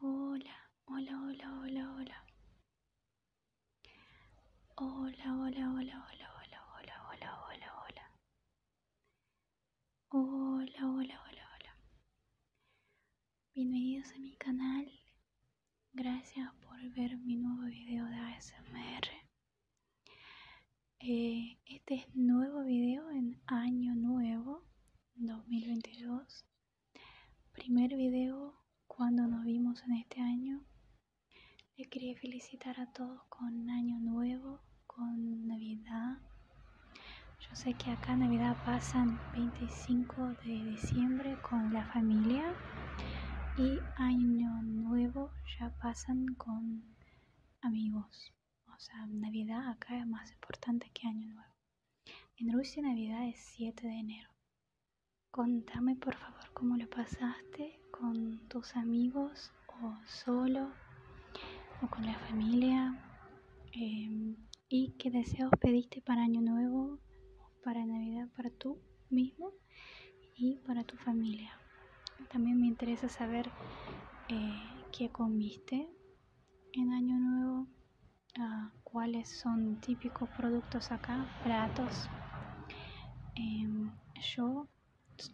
Hola, hola, hola, hola, hola. Hola, hola, hola, hola, hola, hola, hola, hola, hola. Hola, hola, hola, hola. Bienvenidos a mi canal. Gracias por ver mi nuevo video de ASMR. Eh, este es nuevo video en año nuevo 2022 primer video cuando nos vimos en este año les quería felicitar a todos con año nuevo con navidad yo sé que acá navidad pasan 25 de diciembre con la familia y año nuevo ya pasan con amigos o sea, Navidad acá es más importante que Año Nuevo. En Rusia Navidad es 7 de enero. Contame por favor cómo lo pasaste con tus amigos o solo o con la familia em, y qué deseos pediste para Año Nuevo, para Navidad, para tú mismo y para tu familia. También me interesa saber eh, qué comiste, en año nuevo ah, cuáles son típicos productos acá platos em, yo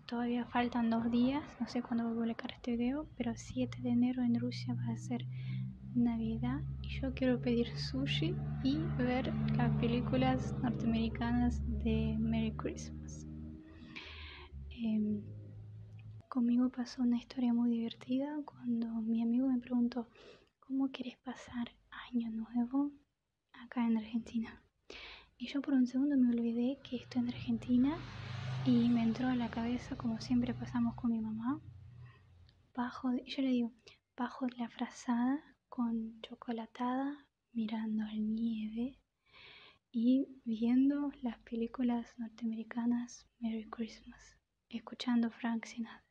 todavía faltan dos días no sé cuándo voy a publicar este video pero 7 de enero en Rusia va a ser navidad y yo quiero pedir sushi y ver las películas norteamericanas de Merry Christmas Em, conmigo pasó una historia muy divertida cuando mi amigo me preguntó, ¿cómo quieres pasar año nuevo acá en Argentina? Y yo por un segundo me olvidé que estoy en Argentina y me entró a la cabeza, como siempre pasamos con mi mamá, bajo, yo le digo, bajo la frazada con chocolatada, mirando el nieve y viendo las películas norteamericanas Merry Christmas, escuchando Frank Sinatra.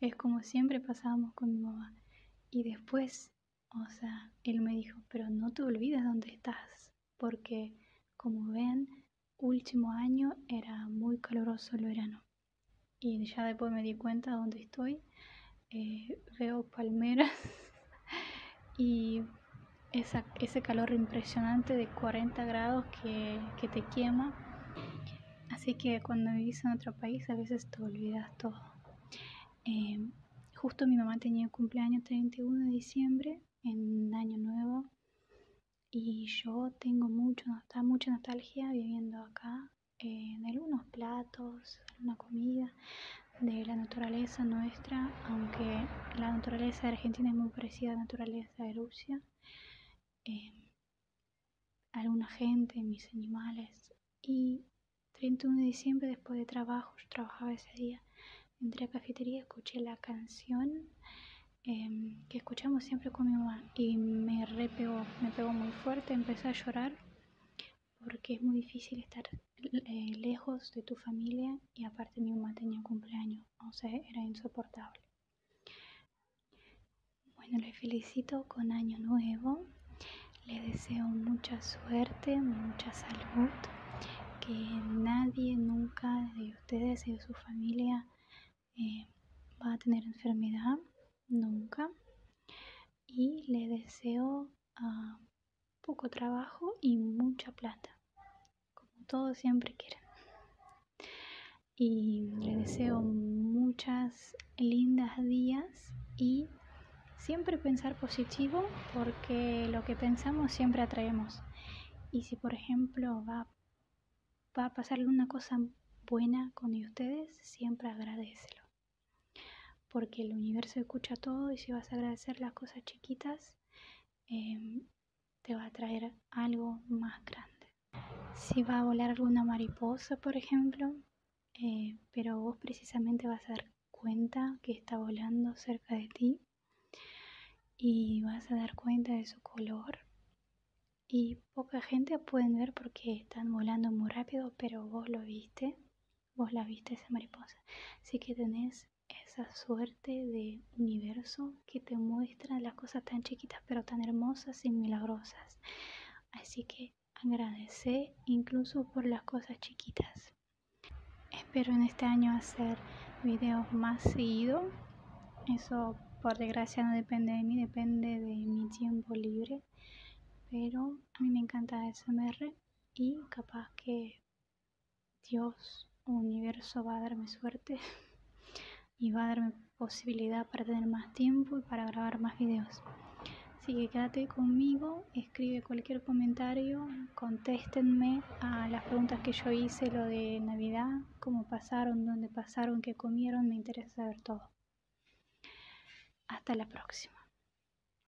Es como siempre pasábamos con mi mamá. Y después, o sea, él me dijo, pero no te olvides dónde estás, porque como ven, último año era muy caluroso el verano. Y ya después me di cuenta dónde estoy. Eh, veo palmeras y ese calor impresionante de 40 grados que, te quema. Así que cuando vivís en otro país a veces te olvidas todo. Em, justo mi mamá tenía el cumpleaños 31 de diciembre en Año Nuevo y yo tengo mucho, mucha nostalgia viviendo acá, En algunos platos, una comida de la naturaleza nuestra, aunque la naturaleza de Argentina es muy parecida a la naturaleza de Rusia. Em, alguna gente, mis animales. Y 31 de diciembre, después de trabajo, trabajaba ese día, entré a cafetería, escuché la canción em, que escuchamos siempre con mi mamá y me repegó, me pegó muy fuerte, empecé a llorar porque es muy difícil estar eh, lejos de tu familia y aparte mi mamá tenía cumpleaños, o sea, era insoportable. Bueno, les felicito con Año Nuevo, le deseo mucha suerte, mucha salud, que nadie nunca de ustedes y de su familia eh, va a tener enfermedad, nunca. Y le deseo poco trabajo y mucha plata, como todos siempre quieren. Y les deseo muchas lindas días y siempre pensar positivo porque lo que pensamos siempre atraemos. Y si por ejemplo va, va a pasarle una cosa buena con ustedes, siempre agradecelo porque el universo escucha todo y si vas a agradecer las cosas chiquitas, em, te va a traer algo más grande. Si va a volar alguna mariposa, por ejemplo, eh, pero vos precisamente vas a dar cuenta que está volando cerca de ti y vas a dar cuenta de su color. Y poca gente puede ver porque están volando muy rápido, pero vos lo viste, vos la viste esa mariposa. Así que tenés esa suerte de universo que te muestra las cosas tan chiquitas pero tan hermosas y milagrosas. Así que agradezco incluso por las cosas chiquitas. Espero en este año hacer videos más seguido. Eso por desgracia no depende de mí, depende de mi tiempo libre. Pero a mí me encanta SMR y capaz que Dios universo va a darme suerte y va a darme posibilidad para tener más tiempo y para grabar más videos. Así que quédate conmigo, escribe cualquier comentario, contéstenme a las preguntas que yo hice, lo de Navidad, cómo pasaron, dónde pasaron, qué comieron, me interesa saber todo. Hasta la próxima.